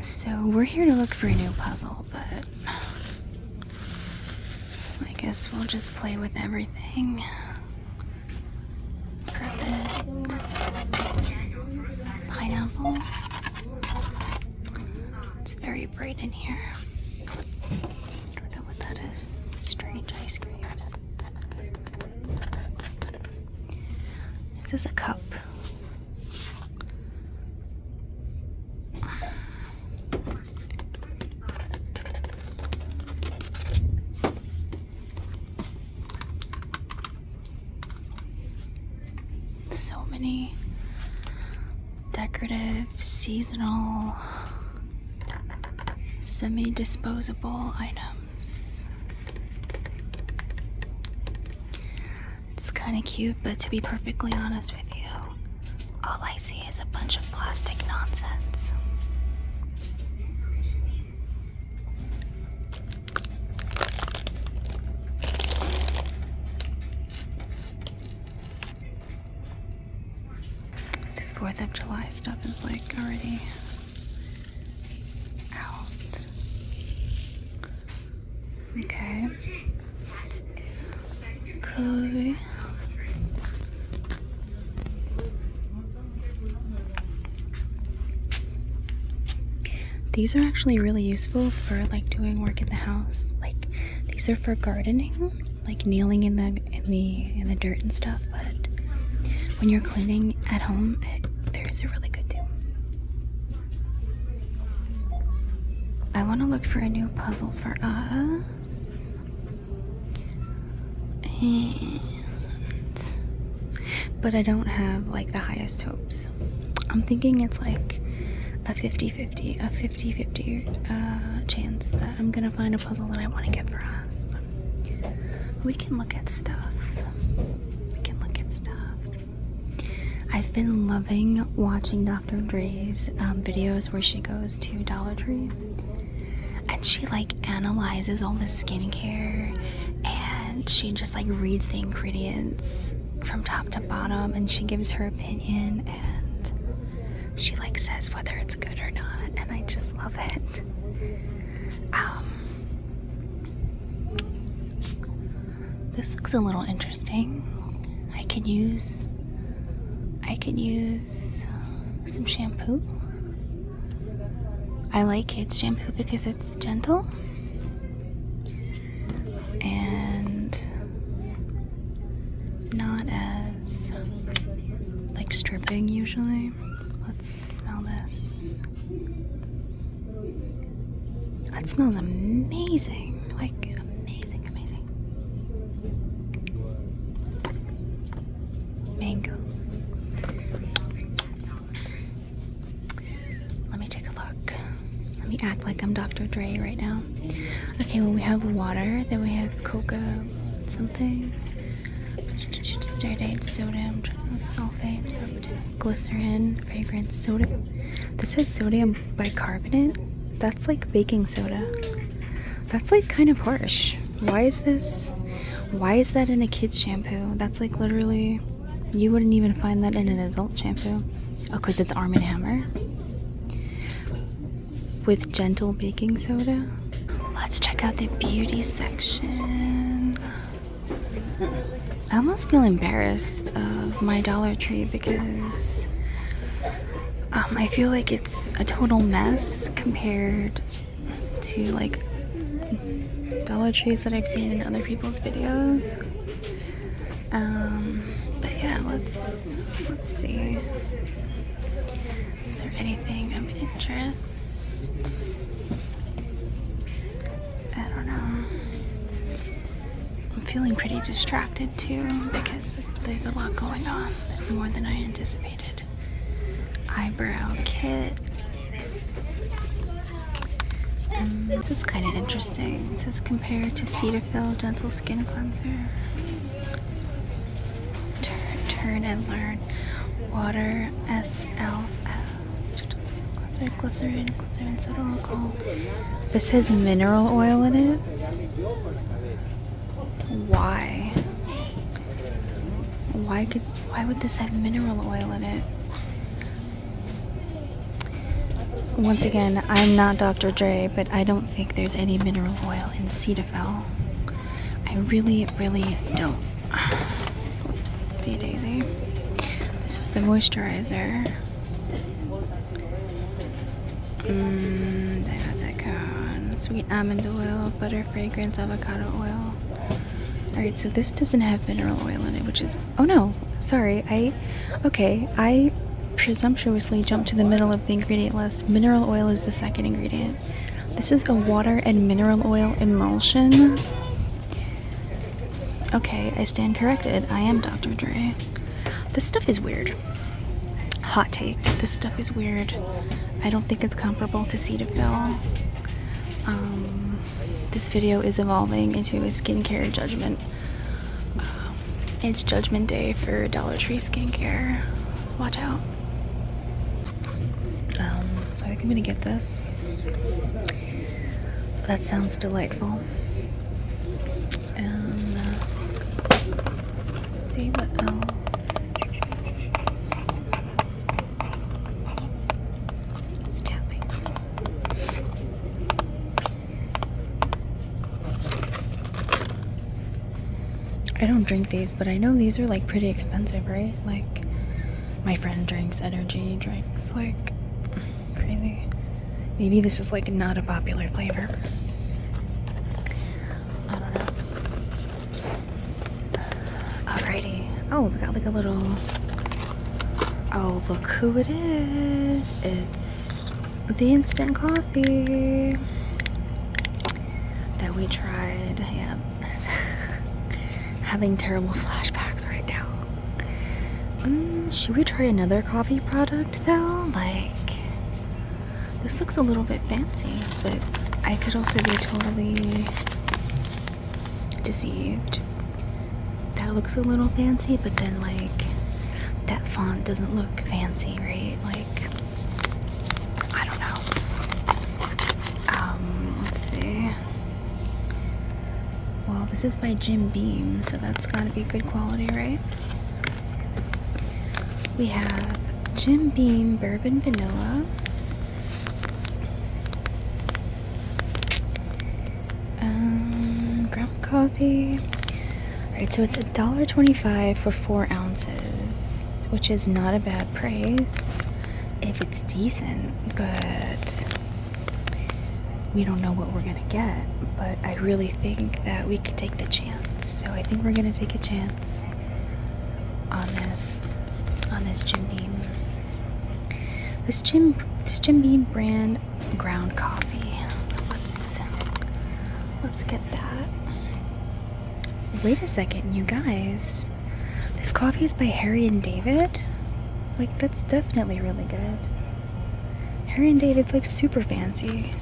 So we're here to look for a new puzzle, but I guess we'll just play with everything. Perfect. Pineapples. It's very bright in here. I don't know what that is. Strange ice creams. This is a cup. So many decorative, seasonal, semi disposable items. It's kinda cute, but to be perfectly honest with you, all I see is a bunch of plastic nonsense. The 4th of July stuff is like already out. Okay. These are actually really useful for like doing work in the house. Like these are for gardening, like kneeling in the in the in the dirt and stuff, but when you're cleaning at home, it, there's a really good do. I want to look for a new puzzle for us. but I don't have like the highest hopes. I'm thinking it's like a 50 50, a 50 50 uh, chance that I'm gonna find a puzzle that I want to get for us. We can look at stuff. We can look at stuff. I've been loving watching Dr. Dre's um, videos where she goes to Dollar Tree and she like analyzes all the skincare and she just like reads the ingredients from top to bottom and she gives her opinion and she like says whether it's good or not and I just love it. Um, this looks a little interesting. I could use I could use some shampoo. I like kids shampoo because it's gentle. and not as like stripping usually. Smell this. That smells amazing. Like, amazing, amazing. Mango. Let me take a look. Let me act like I'm Dr. Dre right now. Okay, well, we have water, then we have coca something. Steridate, sodium, sulfate, glycerin fragrance soda this says sodium bicarbonate that's like baking soda that's like kind of harsh why is this why is that in a kid's shampoo that's like literally you wouldn't even find that in an adult shampoo oh because it's arm and hammer with gentle baking soda let's check out the beauty section I almost feel embarrassed of my Dollar Tree because um, I feel like it's a total mess compared to like Dollar Trees that I've seen in other people's videos. Um, but yeah, let's let's see. Is there anything of interest? I don't know. I'm feeling pretty distracted too because there's a lot going on. There's more than I anticipated. Eyebrow kits. Mm, this is kind of interesting. It says compare to Cetaphil Gentle Skin Cleanser. Turn, turn and learn. Water S L. Glycerin, glycerin, glycerin, subtle alcohol. This has mineral oil in it? Why? Why could why would this have mineral oil in it? Once again, I'm not Dr. Dre, but I don't think there's any mineral oil in Cetaphil. I really, really don't. Oopsie daisy. This is the moisturizer. Mm, Dimethica, sweet almond oil, butter fragrance, avocado oil. Alright, so this doesn't have mineral oil in it, which is. Oh no, sorry. I. Okay, I presumptuously jumped to the middle of the ingredient list. Mineral oil is the second ingredient. This is a water and mineral oil emulsion. Okay, I stand corrected. I am Dr. Dre. This stuff is weird. Hot take. This stuff is weird. I don't think it's comparable to Cetaphil. Um, this video is evolving into a skincare judgment. Uh, it's judgment day for Dollar Tree skincare. Watch out. Um, so I am gonna get this. That sounds delightful. Uh, see what else. Just I don't drink these, but I know these are like pretty expensive, right? Like my friend drinks energy drinks like crazy. Maybe this is like not a popular flavor. I don't know. Alrighty. Oh, we got like a little. Oh, look who it is. It's the instant coffee that we tried. Yeah, Having terrible flashbacks right now. Hmm, should we try another coffee product though? Like, this looks a little bit fancy, but I could also be totally deceived. That looks a little fancy, but then, like, that font doesn't look fancy, right? Like, I don't know now. Um, let's see. Well, this is by Jim Beam, so that's gotta be good quality, right? We have Jim Beam Bourbon Vanilla. Um, ground coffee. Alright, so it's $1.25 for 4 ounces, which is not a bad price it's decent, but we don't know what we're gonna get. But I really think that we could take the chance. So I think we're gonna take a chance on this on this Jim Beam. This Jim this Jim Beam brand ground coffee. Let's let's get that. Wait a second, you guys this coffee is by Harry and David. Like that's definitely really good. Harry and David's like super fancy.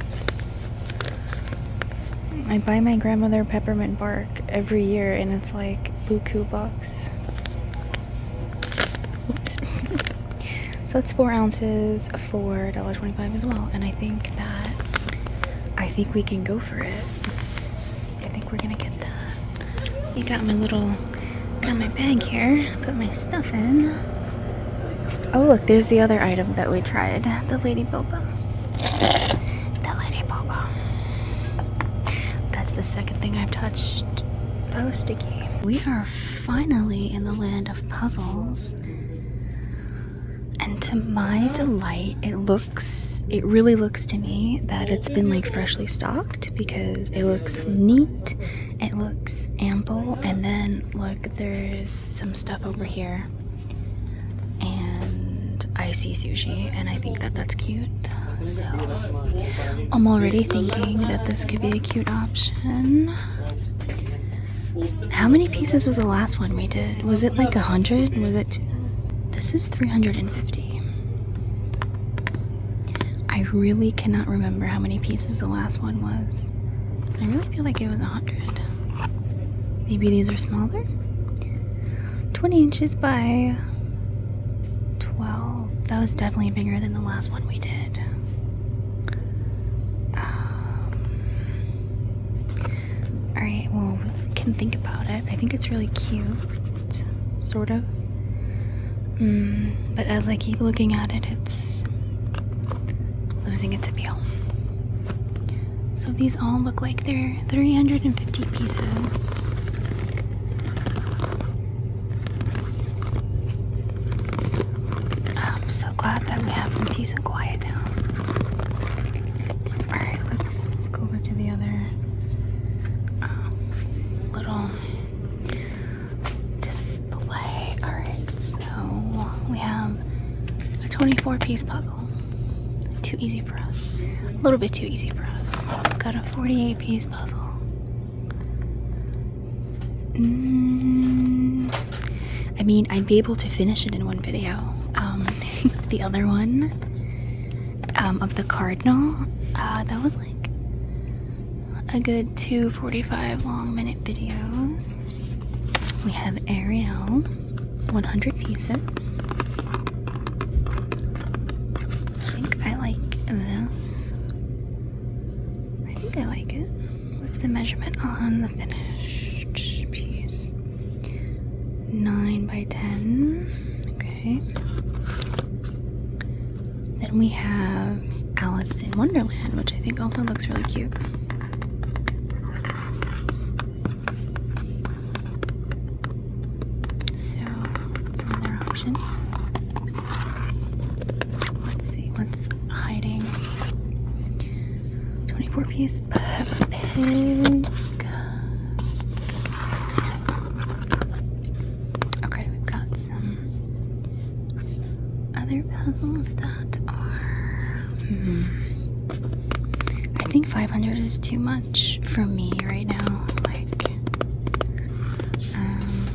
I buy my grandmother peppermint bark every year and it's like buku bucks. Oops. so that's four ounces for $1.25 as well. And I think that I think we can go for it. I think we're gonna get that. You got my little, got my bag here. Put my stuff in. Oh look, there's the other item that we tried, the Lady Boba. The Lady Boba. That's the second thing I've touched. That was sticky. We are finally in the land of puzzles and to my delight, it looks, it really looks to me that it's been like freshly stocked because it looks neat, it looks ample, and then look, there's some stuff over here. And I see sushi, and I think that that's cute. So I'm already thinking that this could be a cute option. How many pieces was the last one we did? Was it like a hundred? Was it this is 350. I really cannot remember how many pieces the last one was. I really feel like it was 100. Maybe these are smaller? 20 inches by 12. That was definitely bigger than the last one we did. Um, Alright, well, we can think about it. I think it's really cute, sort of. Mm, but as I keep looking at it, it's losing its appeal. So these all look like they're 350 pieces. I'm so glad that we have some peace and quiet now. Alright, let's let's go over to the other um, little display. Alright, so we have a 24 piece puzzle. Too easy for us. A little bit too easy for us. got a 48 piece puzzle. Mm, I mean, I'd be able to finish it in one video. Um, the other one um, of the Cardinal. Uh, that was like a good two long minute videos. We have Ariel, 100 pieces. I think I like this. I think I like it. What's the measurement on the finished piece? 9 by 10. Okay. Then we have Alice in Wonderland, which I think also looks really cute. So that's another option. Let's see what's hiding. 24 piece Peppa Okay, we've got some other puzzles that are. Hmm, I think 500 is too much for me right now. Like, um,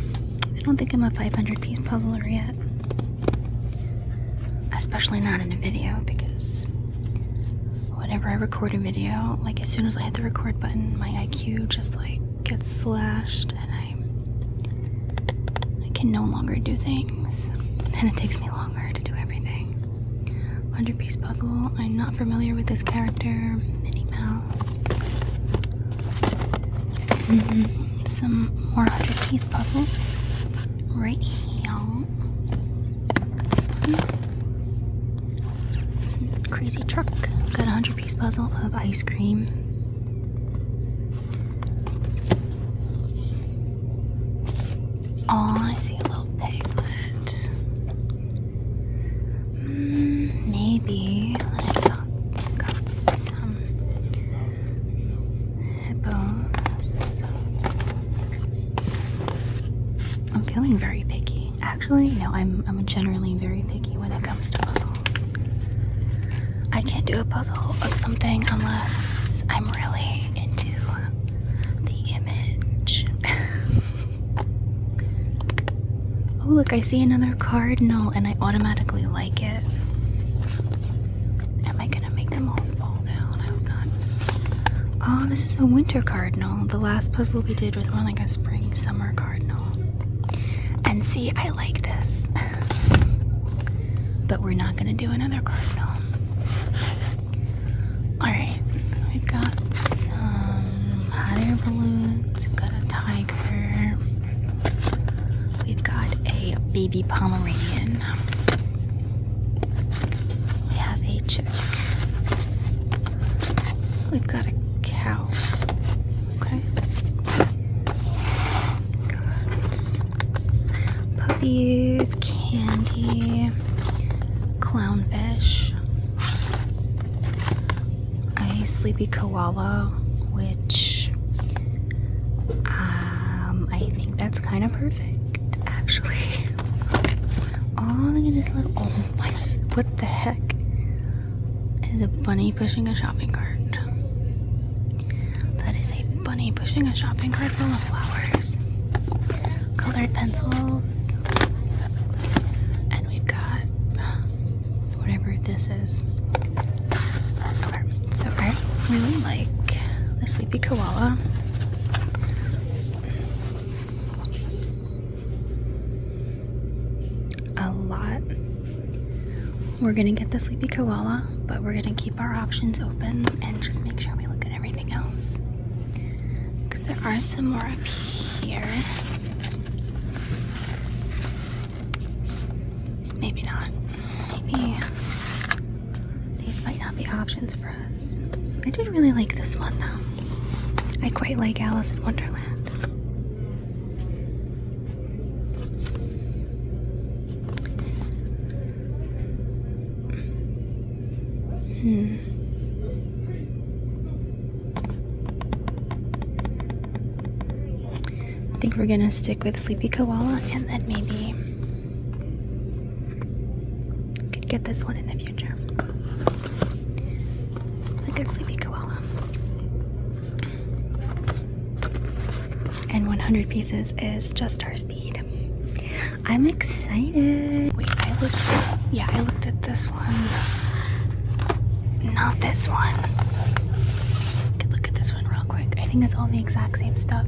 I don't think I'm a 500 piece puzzler yet. Especially not in a video because whenever I record a video, like as soon as I hit the record button, my IQ just like gets slashed and I I can no longer do things. And it takes me longer to do everything. 100 piece puzzle. I'm not familiar with this character. Minnie Mouse. Mm-hmm. Some more 100 piece puzzles right here crazy truck. Got a hundred piece puzzle of ice cream. Oh, I see a little piglet. Mm, maybe I got, got some bones. I'm feeling very picky. Actually, no, I'm I'm generally very picky when it comes to puzzles. I can't do a puzzle of something unless I'm really into the image. oh, look, I see another cardinal and I automatically like it. Am I gonna make them all fall down? I hope not. Oh, this is a winter cardinal. The last puzzle we did was more like a spring summer cardinal. And see, I like this. but we're not gonna do another cardinal. Alright, we've got some hot air balloons, we've got a tiger, we've got a baby Pomeranian. We have a We've got a cow. Okay. Got puppies, candy, clownfish, a sleepy koala, which um, I think that's kind of perfect actually. Oh, look at this little. Oh What the heck? is a bunny pushing a shopping cart. That is a bunny pushing a shopping cart full of flowers, colored pencils, and we've got whatever this is. So I really like the Sleepy Koala. A lot. We're gonna get the Sleepy Koala, but we're gonna keep our options open and just make sure we look at everything else. Because there are some more up here. Maybe not maybe these might not be options for us. I do really like this one though. I quite like Alice in Wonderland. Hmm. I think we're gonna stick with Sleepy Koala and then maybe could get this one in the future. Like a sleepy koala. And 100 pieces is just our speed. I'm excited. Wait, I looked. Yeah, I looked at this one. Not this one. Look at this one real quick. I think it's all the exact same stuff,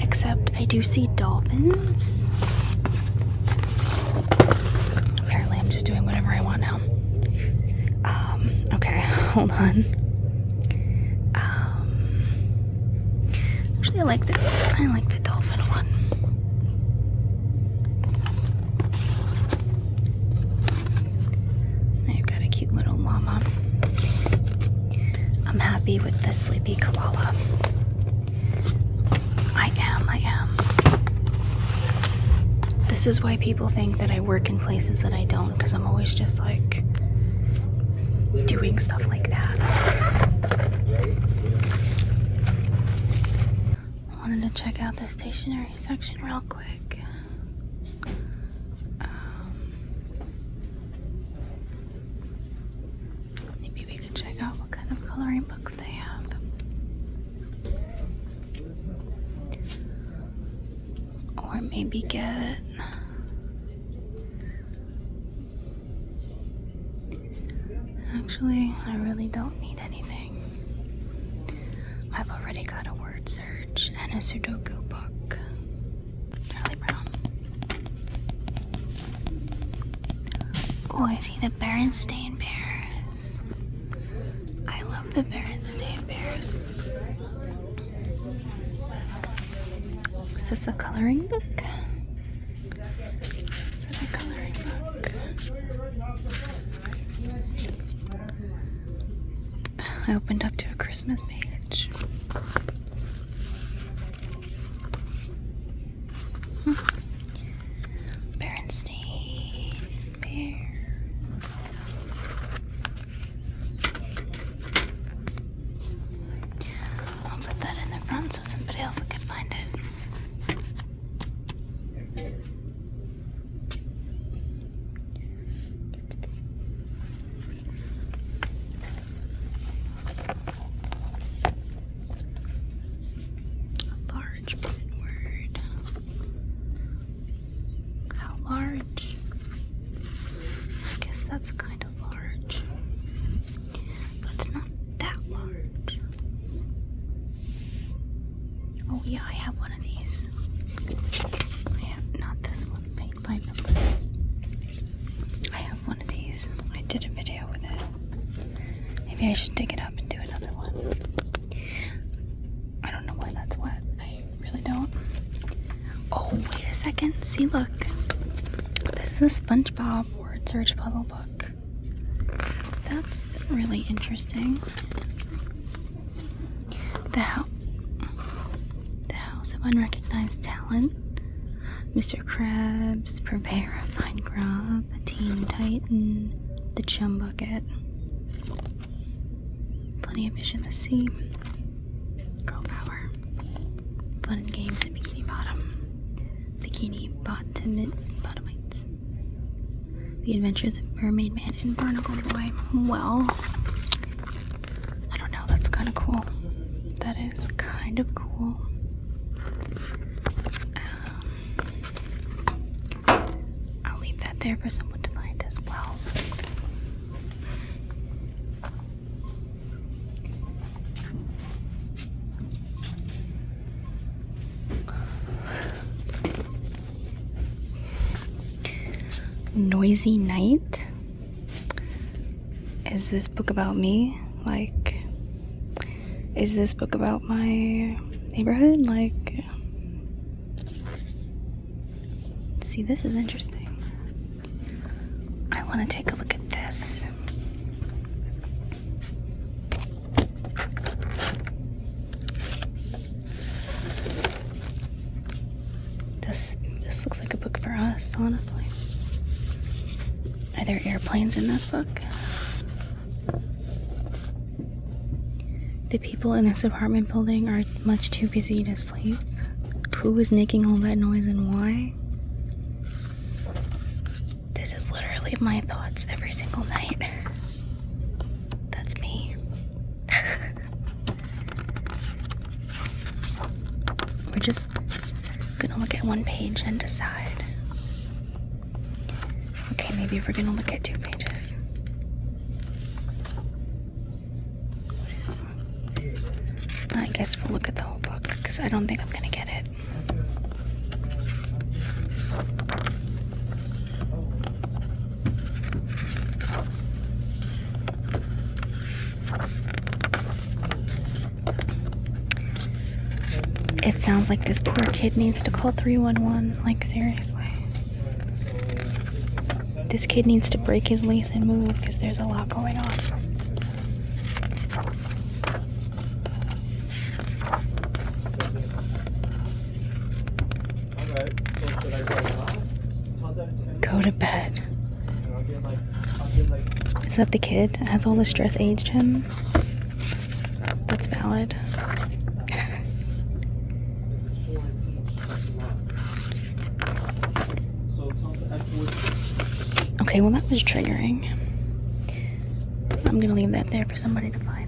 except I do see dolphins. Apparently, I'm just doing whatever I want now. Um, okay, hold on. Um, actually, I like the I like the dolphin one. I've got a cute little llama. I'm happy with the sleepy koala. I am, I am. This is why people think that I work in places that I don't, because I'm always just like doing stuff like that. I wanted to check out the stationery section real quick. Um, maybe we could check out what kind of coloring books they have. Or maybe get Actually, I really don't need anything. I've already got a word search and a Sudoku book. Oh, I see the Berenstain Bears. I love the Berenstain Bears. Is this a coloring book? Is it a coloring book? I opened up to a Christmas page. Hmm. I'll put that in the front so somebody else can find it. A large word. How large? I guess that's kind of large. But not that large. Oh, yeah, I have one of these. I have not this one with paint by number. I have one of these. I did a video with it. Maybe I should dig it up and do another one. I don't know why that's wet. I really don't. Oh, wait a second. See, look. This is a SpongeBob word search puzzle book. That's really interesting. The, ho the House of Unrecognized Talent, Mr. Krabs, Purveyor of Fine Grub, Teen Titan, The Chum Bucket, Plenty of Fish in the Sea, Girl Power, Fun and Games at Bikini Bottom, Bikini Bottom Bottomites, The Adventures of Mermaid Man and Barnacle Boy. Well, I don't know, that's kind of cool. That is kind of cool. Um, I'll leave that there for someone to find as well. Noisy Night. Is this book about me? Like, is this book about my neighborhood? Like, see, this is interesting. I want to take a look at this. This this looks like a book for us, honestly. Are there airplanes in this book? The people in this apartment building are much too busy to sleep. Who is making all that noise and why? This is literally my thoughts every single night. That's me. We're just gonna look at one page and decide. Okay, maybe we're gonna look at two pages. I guess we'll look at the whole book because I don't think I'm gonna get it. It sounds like this poor kid needs to call 311. Like, seriously. This kid needs to break his lease and move because there's a lot going on. Go to bed. Is that the kid? Has all the stress aged him? That's valid. okay, well, that was triggering. I'm gonna leave that there for somebody to find.